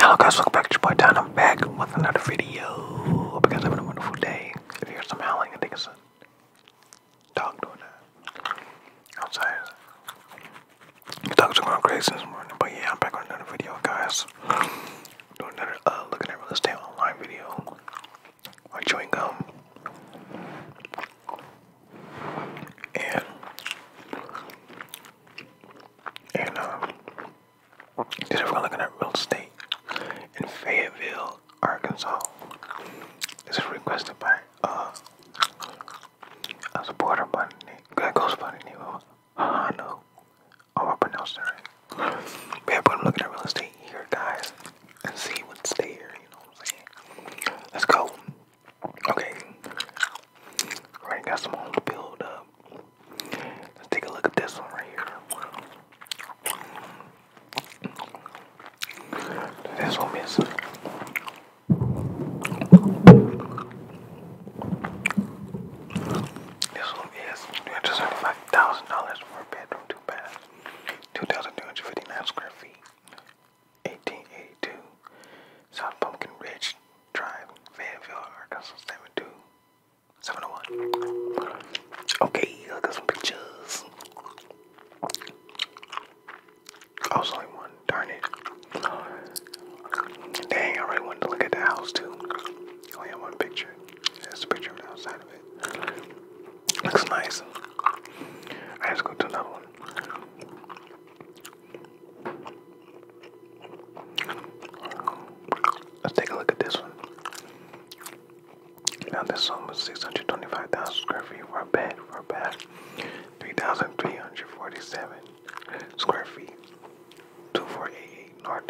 Hello guys, welcome back to your boy Time. I'm back with another video. Hope you guys having a wonderful day. If some howling, I think dog doing that. I'm tired. dogs are going crazy this morning, but yeah, I'm back on another video, guys. Doing another uh, looking at real estate online video. Like chewing gum. And and um just we're looking at real estate in Fayetteville, Arkansas. This is requested by uh I support her bunny that ghost bunny name. I know. Oh I pronounced it right. yeah, but I'm looking at real estate here guys and see what's there, you know what I'm saying? Let's go. Okay. Alright, got some homes build up. Let's take a look at this one right here. This one is this one is $275,000 for a bedroom, two bath, 2,259 square feet, 1882 South Pumpkin Ridge Drive, Fayetteville, Arkansas 72. Okay, I got some pictures. I was only one. Darn it. Dang, I really wanted to look at the house too. I only have one picture. That's a picture of the outside of it. Looks nice. I just go to another one. Let's take a look at this one. Now this one was 625,000 square feet for a bed, for a bed. 3,347 square feet, 2488 North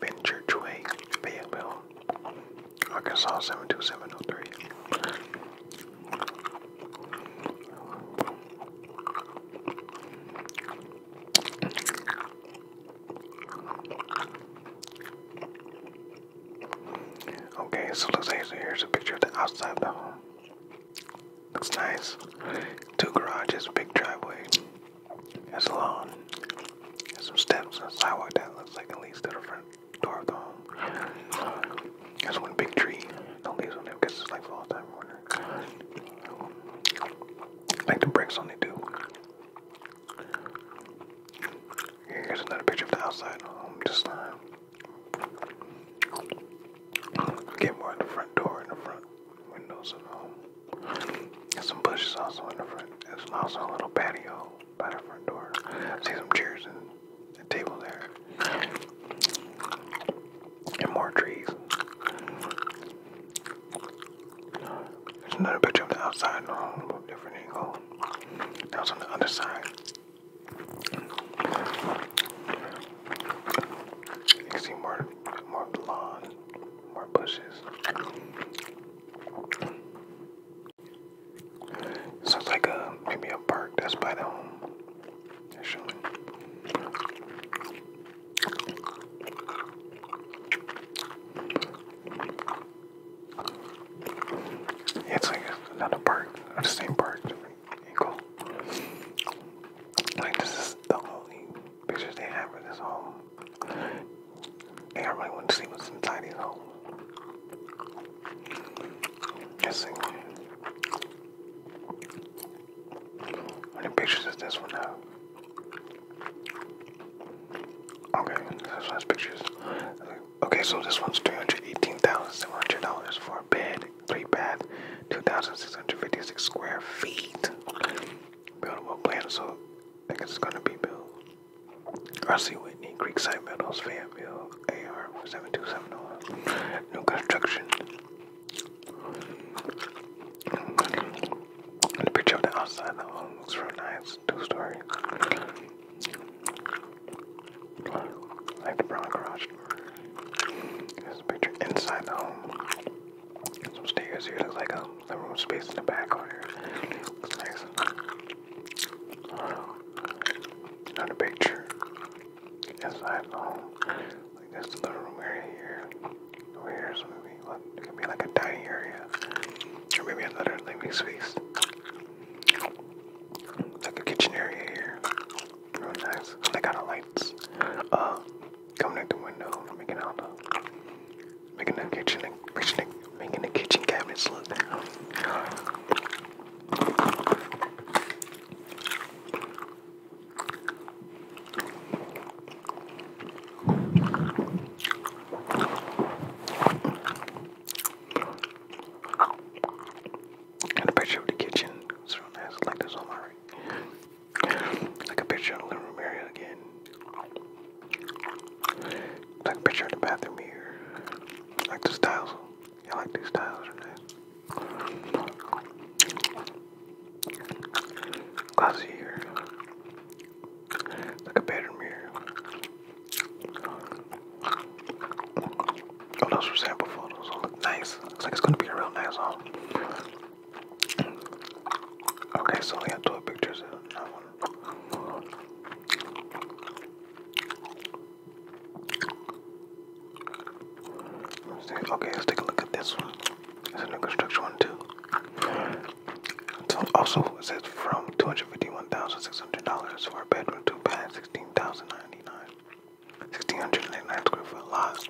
Benchurch Way, Fayetteville, Arkansas 72703. Okay, so let's see. here's a picture of the outside of the home. Looks nice. Two garages, big driveway. There's a lawn. There's some steps and a sidewalk that looks like it leads to the front door of the home. There's one big tree. No leaves on it because it's like fall time morning. Like the bricks only do. Here's another picture of the outside home. Just uh, Get more in the front door, in the front windows and all. And some bushes also in the front. There's also a little patio by the front door. see some chairs and a table there. And more trees. There's another picture of the outside, no, a different angle. That was on the other side. You see more, more lawn, more bushes. Sounds like a maybe a park that's by the home. It's like another park, the same park ankle. Like this is the only pictures they have of this home. And I really want to see what's inside these homes. Guessing. How many pictures does this one have? Okay, this has pictures. Okay, so this one's three hundred eighteen thousand seven hundred dollars for a bed, three bath, two thousand six hundred fifty six square feet. Buildable plan, so I guess it's gonna be built. R.C. Whitney, Creekside Meadows, Fayetteville, AR for oh. New construction. the picture of the outside of the home looks real nice. Two story. Like the brown garage. There's picture inside the home. Some stairs here. There's like a living room space in the back here. Another picture inside the home. Like there's the living room area here. Over maybe what, could be like a dining area, maybe another living space. Like a kitchen area here. Real nice. They got the lights um, coming in the window, making the making the kitchen making the, making the kitchen cabinets look and a picture of the kitchen. It's real nice. Like this on my right. Like a picture of the living room area again. Like a picture of the bathroom here. Like the styles. I like these styles. They're nice. Glass here. Like a bedroom here. Oh, those were sample photos. look nice. Looks like it's gonna be a real nice home. Okay, so only got two pictures in that one. Okay, let's take a look at this one. It's a new construction one too. So also it says from two hundred fifty-one thousand six hundred dollars for a bedroom, two bath, 16,099. 1699 square foot lots.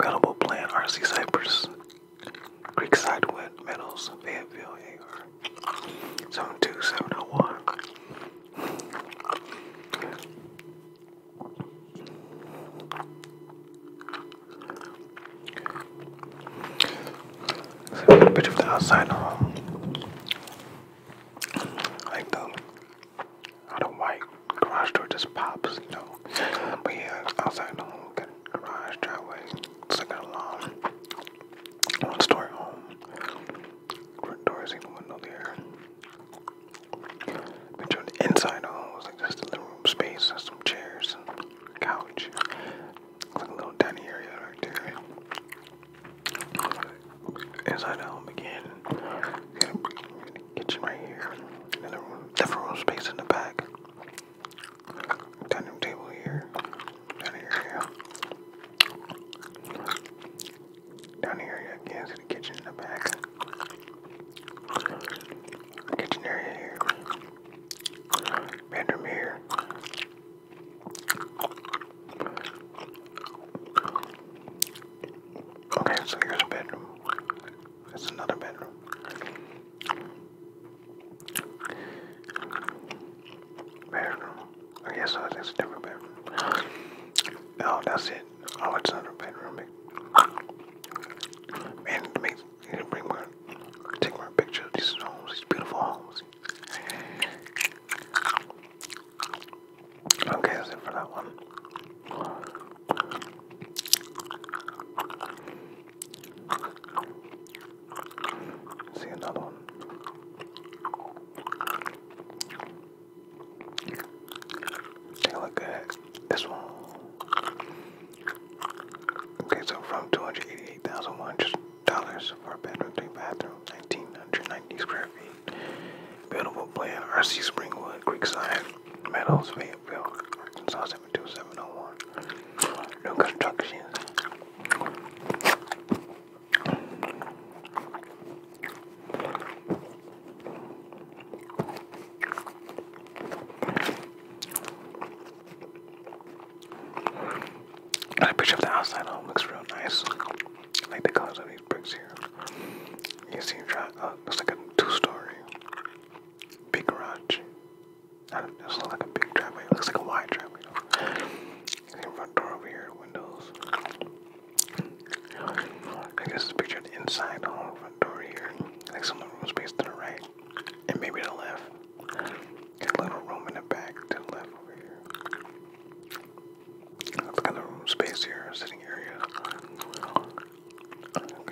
Available plan RC Cypress, Creekside Wet Meadows, Fayetteville, AR 72701 a little bit of the outside of like the out of white garage door just pops, you know. But yeah, outside home, got garage, driveway, second alarm, one story home, front doors in window there. But the inside home like just a little room space and some chairs and couch. Like a little dining area right there. Inside the home again. Kitchen right here. Another room, different room space in the back. Dining table here. Down here, Down here, again, see the kitchen in the back. Kitchen area here. Bedroom here. Okay, so here's a bedroom. That's another bedroom. Bedroom. I guess that's a different bedroom. No, that's it. Oh, it's another bedroom. Man, it makes you bring my take my picture of these homes, these beautiful homes. Okay, that's it for that one. See another one. Take a look at this one. Okay, so from 288,000 dollars for a bedroom, three bathroom, nineteen hundred ninety square feet. Buildable plan RC Springwood, Creekside, Meadows, Fayetteville, Arkansas 72701. New construction. That picture of the outside home looks real nice. I like the colors of these bricks here. You see, uh, Looks like a two-story big garage. That it like a big driveway. looks like a wide driveway. front door here, windows. I guess it's picture the inside home front door here. Like some the room space to the right, and maybe the left. Got a little room in the back to the left over here. Look at the room space here, sitting area.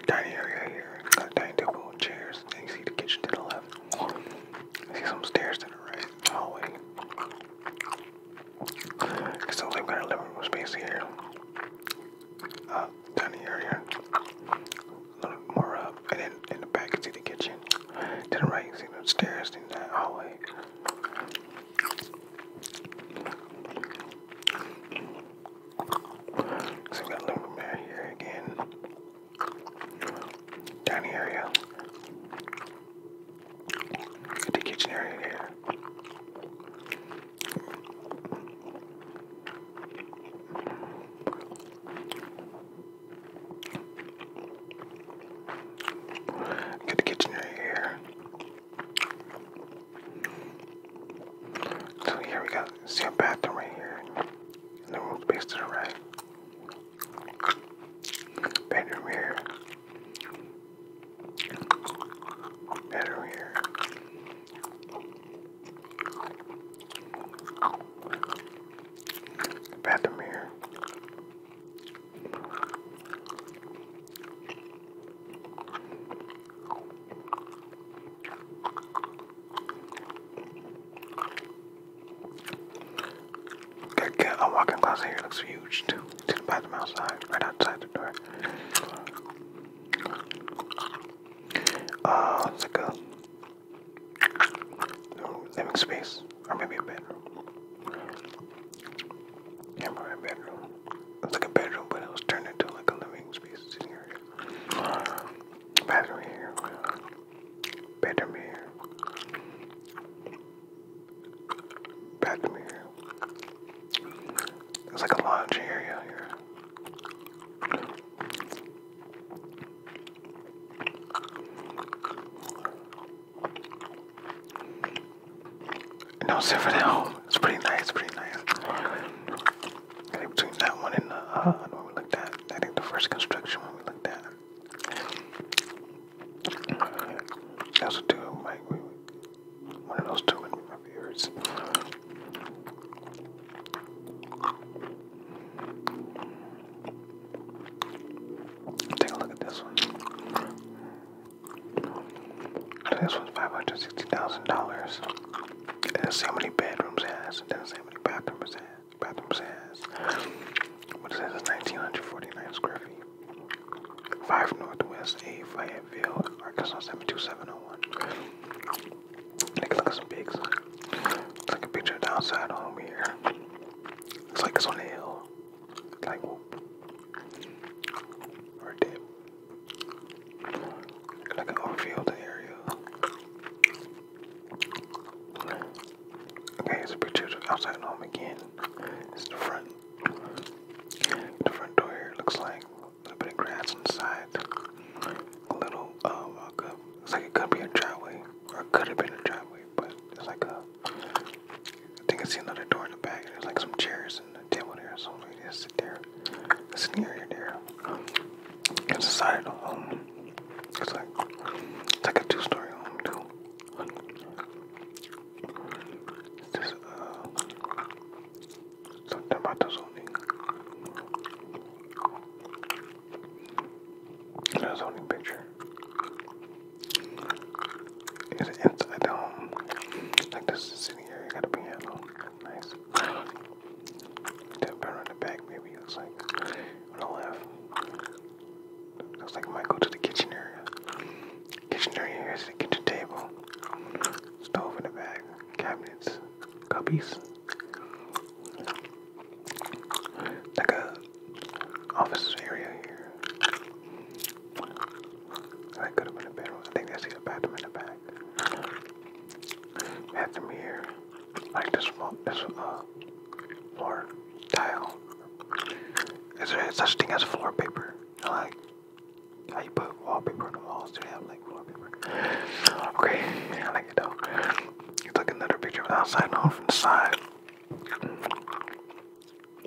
Tiny area here. Got a tiny table chairs. you see the kitchen to the left. I see some stairs to the right, hallway. So they got a living room space here. Uh, tiny area little more up, and then in the back, see the kitchen. To the right, you see the stairs, in that hallway. So we got a little here again. Dining area. The kitchen area there. Get the kitchen right here. So here we got see a bathroom right here. the room space to the right. Bedroom here. Bedroom here. Bathroom here. Got a walk-in closet here. Looks huge too. right outside the door. Uh, it's like a living space, or maybe a bedroom. Yeah, probably bedroom. It's like a bedroom, but it was turned into like a living space area. Bathroom here, bedroom here, bathroom here. It's like a lounge area here. No, sit for It's pretty nice, It's pretty nice. between that one and the one uh, we looked at, I think the first construction one we looked at. Those two, one of those two in my viewers. Take a look at this one. So this one's five hundred sixty thousand dollars. It doesn't say how many bedrooms it has. It doesn't say how many bathrooms it has. Bathrooms it has. What it says is nineteen hundred forty nine square feet. 5 Northwest A, Fayetteville, Arkansas 72701. Nigga, look at some pigs. It's like a picture outside home here. It's like it's on the hill. Like whoop. Or dip. Like an outfield area. Okay, it's a picture outside home again. It's the front. The front door here looks like little bit of grass inside. A little, um, it's like it could be a driveway, or could have been a driveway, but it's like a, I think I see another door in the back. There's like some chairs and a table there, so we just sit there. It's in the there. It's a side of home. It's like, it's like a two-story home too. just, uh, Santa Mata zoning. A zoning picture. Is inside the um, home? Like this sitting area got a piano. Nice. Tap around the back, maybe it's like on the left. Looks like it to the kitchen area. Kitchen area here is the kitchen table. Stove in the back. Cabinets. Cubbies like a office area here. That could have been a bedroom. I think that's the bathroom in the back. Bathroom here. Like this floor, this uh, floor tile. Is there such thing as floor paper? like how wallpaper on the walls. Do they have like wallpaper? Okay, I like it though. You took another picture of the outside, no, from the side.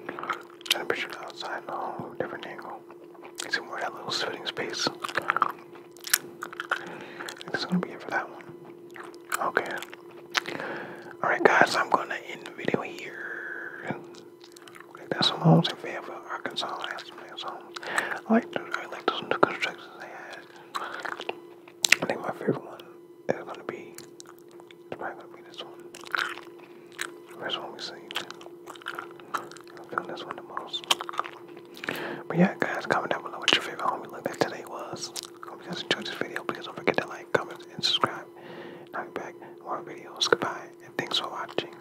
Another picture of the outside, no, different angle. see more that little sitting space. It's gonna be it for that one. Okay. Alright, guys, I'm gonna end the video here. That's some homes in Fayetteville, Arkansas. I like I like those new constructions they had. I think my favorite one is gonna be it's probably gonna be this one. First one we see. I'm feeling this one the most. But yeah guys, comment down below what your favorite homie look like today was. Hope you guys enjoyed this video. Please don't forget to like, comment, and subscribe. I'll be back with more videos. Goodbye and thanks for watching.